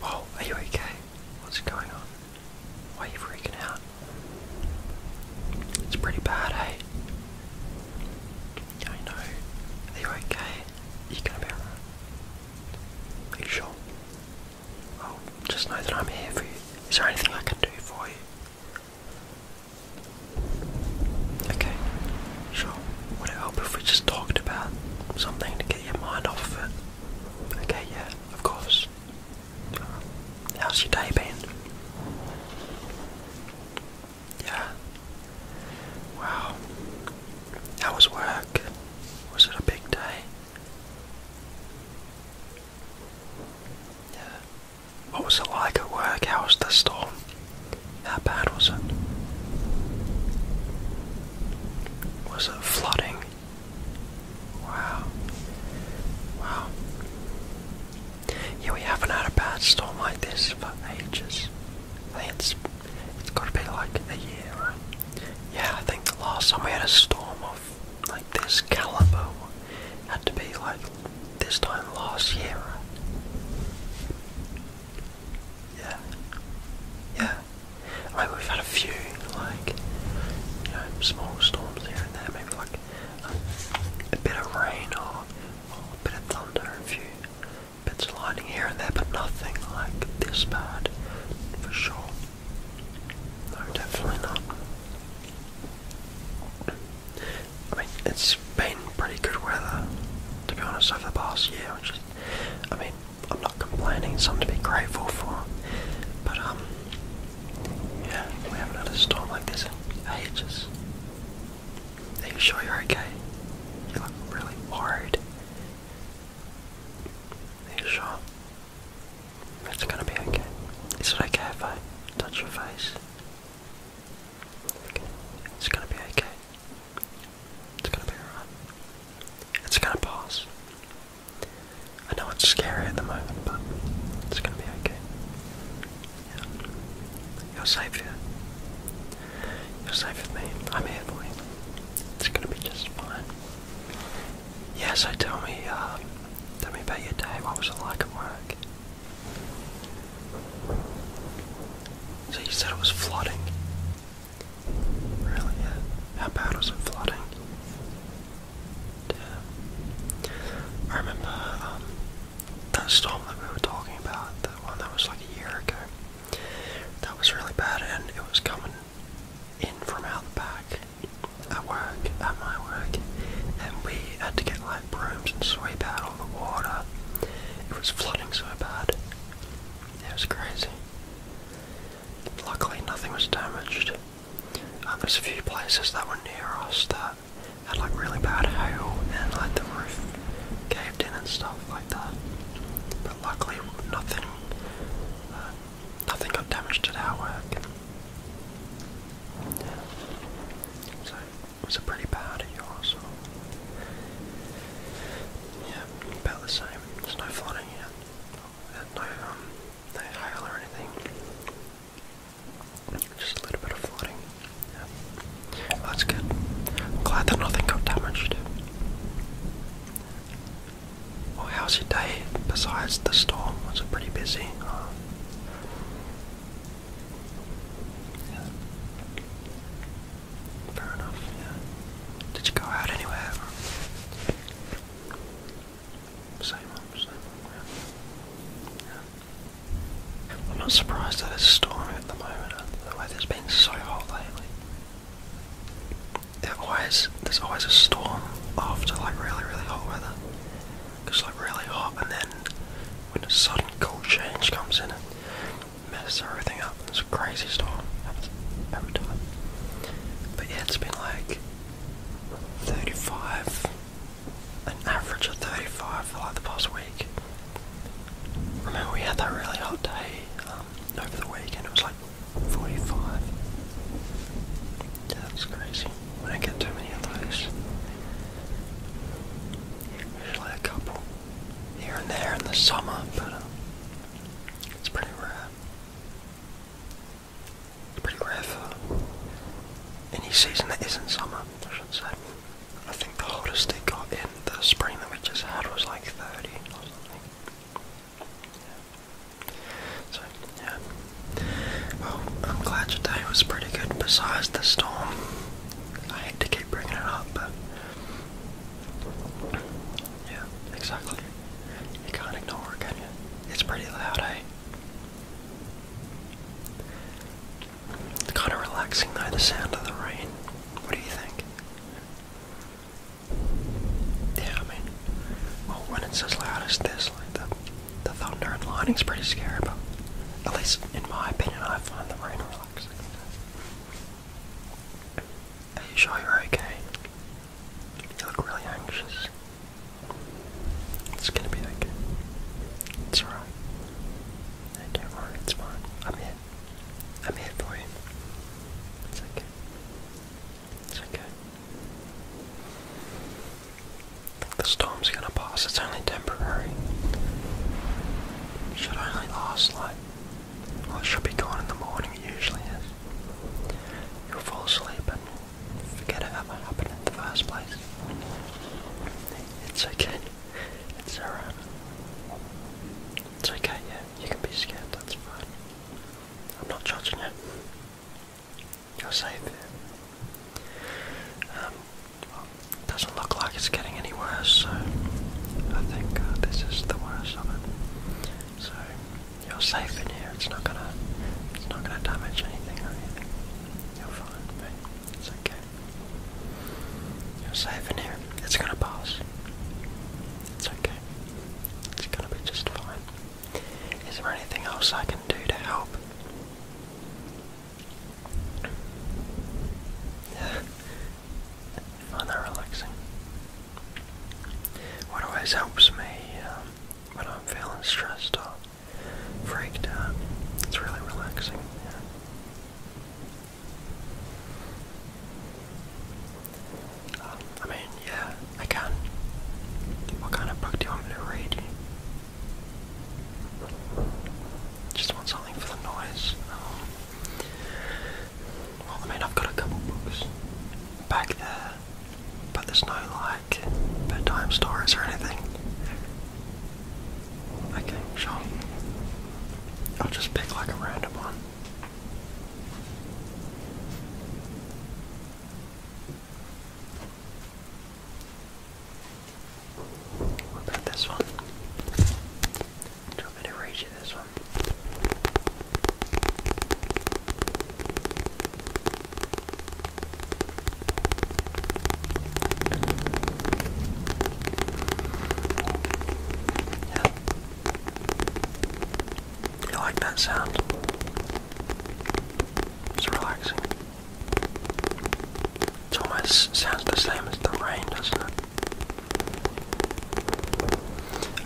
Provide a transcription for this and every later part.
Whoa, are you okay? What's going on? Why are you freaking out? It's pretty bad, hey. Eh? I know. Are you okay? you gonna be alright? Are you sure? Well, just know that I'm here for you. Is there anything I can do for you? Okay, sure. Would it help if we just talked about something together? your mind off it. Okay, yeah, of course. How's your day been? Yeah. Wow. How was work? Was it a big day? Yeah. What was it like at work? How was the storm? That bad was it? Was it flooding? Wow. Wow. Yeah, we haven't had a bad storm like this for ages. I think it's it's gotta be like a year, Yeah, I think the last time we had a storm of like this caliber had to be like this time last year, yeah. Yeah. I mean, we've had a few, like, you know, small storms here and there, maybe like a bit of rain or, a bit of thunder, a few bits of lightning here and there, but nothing like this bad, for sure. No, definitely not. I mean, it's been pretty good weather, to be honest, over the past year, I mean, I'm not complaining, something to be grateful for. But, um, yeah, we haven't had a storm like this in ages. Are you sure you're okay? You look really worried. Are you sure? It's gonna be okay. Is it okay if I touch your face? Okay. It's gonna be okay. It's gonna be alright. It's gonna pass. I know it's scary at the moment, but it's gonna be okay. Yeah. You're safe here. You're safe with me. I'm here for you. It's gonna be just fine. Yeah, so tell me, uh, tell me about your day. What was it like at work? So you said it was flooding? Really? Yeah. How bad was it flooding? Yeah. I remember um, that storm that we were talking about, the one that was like a year ago. That was really bad, and it was coming in from out the back at work, at my work, and we had to get like brooms and sweep out all the water. It was flooding so bad. It was crazy. Luckily, nothing was damaged. Um, there's a few places that were near us that had like really bad hail and like the roof caved in and stuff like that. But luckily, nothing, uh, nothing got damaged at our work was a pretty bad year also. Yeah, about the same. There's no flooding yet. Um, no, hail or anything. Just a little bit of flooding. that's good. I'm glad that nothing got damaged. Well, how's your day besides the storm? Was it pretty busy? Fair enough, yeah. Did you go out anywhere? Same old, same old, yeah. I'm not surprised that it's storming at the moment. The weather's been so hot lately. It always, there's always a storm after like really, really hot weather. It's like really hot and then when a sudden cold change comes in, mess everything up. It's a crazy storm every time. But yeah, it's been like 35, an average of 35 for like the past week. Remember we had that really hot day um, over the weekend, it was like 45. Yeah, that's crazy. I don't get too many of those. Usually a couple here and there in the summer, but um, it's pretty rare. It's pretty rare for any season that isn't summer, I should say. I think the hottest it got in the spring that we just had was like 30 or something. So, yeah. Well, I'm glad your day was pretty good besides the storm. I hate to keep bringing it up, but yeah, exactly. You can't ignore it, can you? It's pretty loud, eh? It's kind of relaxing though, the sound of the rain. What do you think? Yeah, I mean, well, when it's as loud as this, like the the thunder and lightning's pretty scary, but at least in my opinion, I find the rain are you sure you're okay? You look really anxious. It's gonna be okay. It's alright. don't worry, it's fine. I'm here. I'm here for you. It's okay. It's okay the storm's gonna pass, it's only temporary. It should only last like well it should be gone in the morning it usually is. you fall asleep and forget it ever happened in the first place. It's okay. It's alright. It's okay, yeah. You can be scared, that's fine. I'm not judging you. You're safe it doesn't look like it's getting any worse, so I think uh, this is the worst of it. So you're safe in here. It's not gonna, it's not gonna damage anything or anything. You're fine, It's okay. You're safe in here. It's gonna pass. It's okay. It's gonna be just fine. Is there anything else I can do to help? find that relaxing. What always helps me um, when I'm feeling stressed or freaked out, it's really relaxing. Yeah. Um, I mean, yeah, I can. What kind of book do you want me to read? Just want something for the noise. Um, well, I mean, I've got a couple books back there, but there's no like bedtime stories or anything. Okay, sure. I'll just pick like a random one. What about this one? Do you want to read you this one? Yeah. You like that sound? It's relaxing. It almost sounds the same as the rain, doesn't it?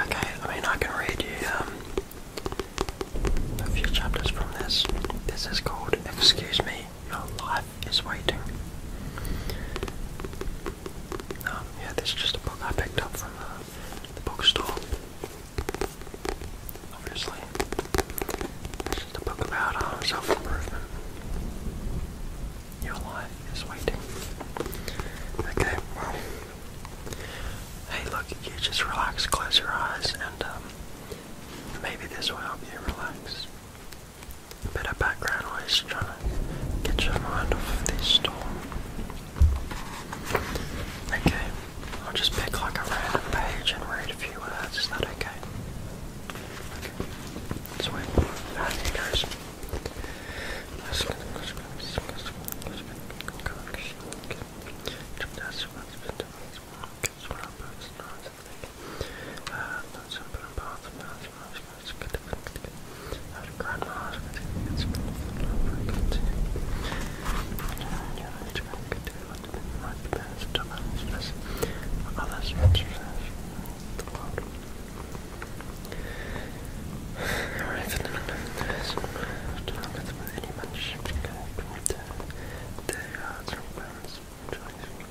Okay, I mean, I can read you um, a few chapters from this. This is called Excuse Me, Your Life is Waiting. Um, yeah, this is just a book I picked up from uh, the bookstore obviously. This is the book about uh, self improvement. Your life is waiting. Okay, Hey, look, you just relax, close your eyes, and um, maybe this will help relax. A bit background noise trying to get your mind off this storm. Okay, I'll just pick like a random page and read a few few words, is that okay? Okay. So I will uh, here goes. Uh, Grandma's and then best to manage this others the world. Alright, for the numbers, to not let them with any much connect with the, the hearts and bands, which I think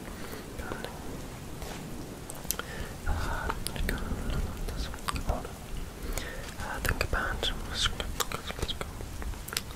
uh, let go this order. Uh, think about let's go, let's go.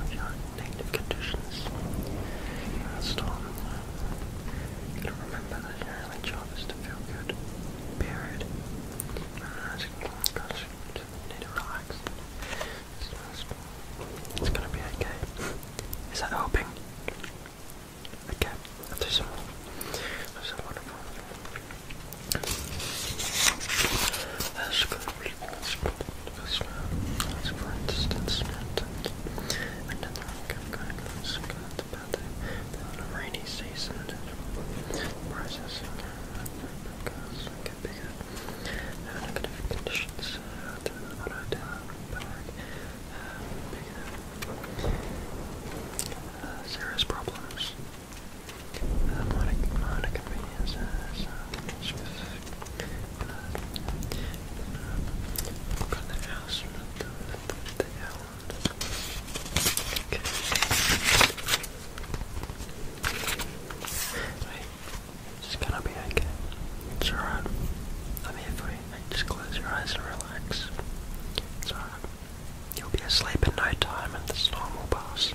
of your negative conditions. Uh, storm. You gotta remember that your only really job is to feel good. Period. Uh, it's gonna need to relax. It's gonna be okay. Is that hoping? Okay, i some more. I'll do wonderful as for reasons, as for instance, another guidelines got the, rainy season prices because it conditions uh, to auto down back uh, big, uh, serious problems it's gonna be okay. It's alright. I'm here for you. Just close your eyes and relax. It's alright. You'll be asleep in no time and the storm will pass.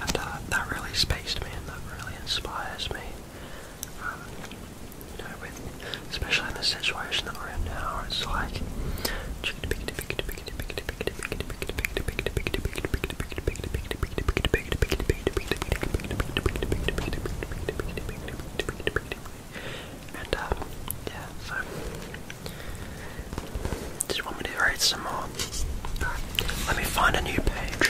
and uh, that really spaced me and that really inspires me. Um, you know, especially in the situation that we're in now, it's like and um, yeah, so did you want me to read some more? Let me find a new page.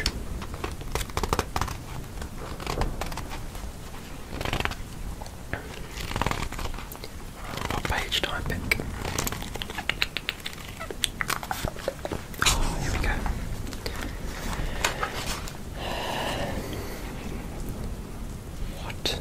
What page do pick? Oh, here we go. What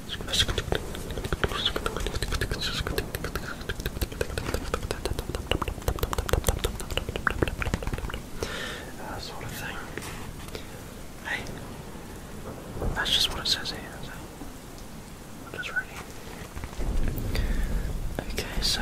uh, sort of thing. Hey, that's just what it says here. So I'm just ready. Okay, so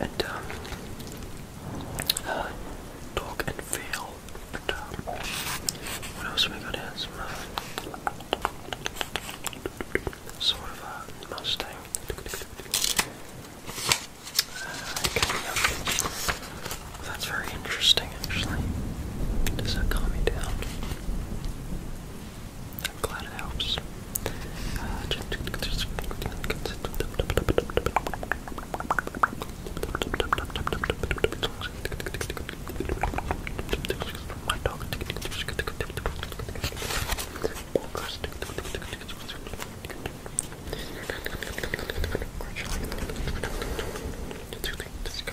and um, uh, talk and fail. Um, what else we got here? Some uh, Mustang. Uh, that's very interesting, actually. Does that calm you down? I'm glad it helps. Uh, my dog. Just go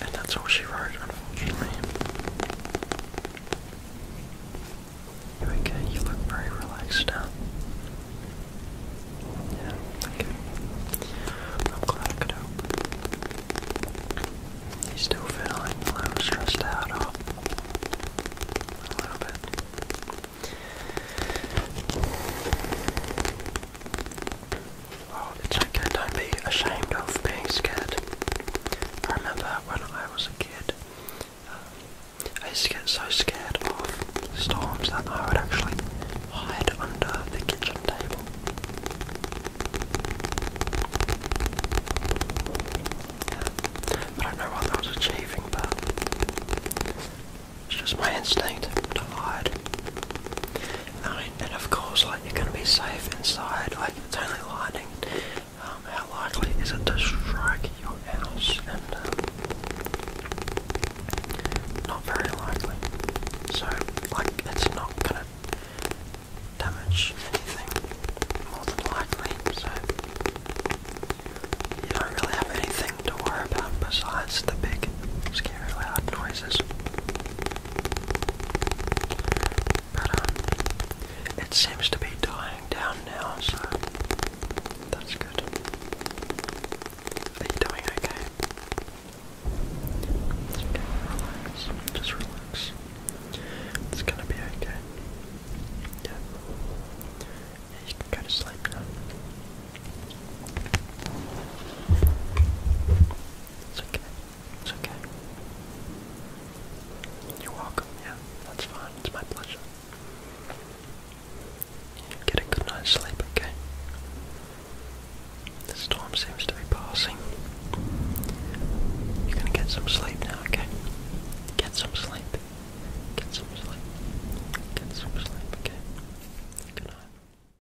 And that's all she wrote, unfortunately. You okay? You look very relaxed now. Yeah, okay. I'm glad I could help. You still feeling a little stressed out or a little bit? Oh, don't be ashamed of being scared. I remember when I was a kid, um, I used to get so scared of storms that I would actually hide under the kitchen table. I don't know what I was achieving, but it's just my instinct to hide. Now and of course, like you're gonna be safe inside. Like it's only lightning. Um, how likely is it to strike your house? And um, not very likely. So, like, it's not gonna damage anything more than likely. So you don't really have anything to worry about besides the big, scary, loud noises. Um, it seems to be dying down now, so that's good. Are you doing okay? It's okay, relax. Just relax. It's gonna be okay. Yeah. Yeah, you can go to sleep now. It's okay. It's okay. You're welcome. Yeah, that's fine. It's my pleasure. get a good night's sleep, okay? The storm seems to be passing. You're gonna get some sleep now, okay? Get some sleep. Get some sleep. Get some sleep, okay? Good night.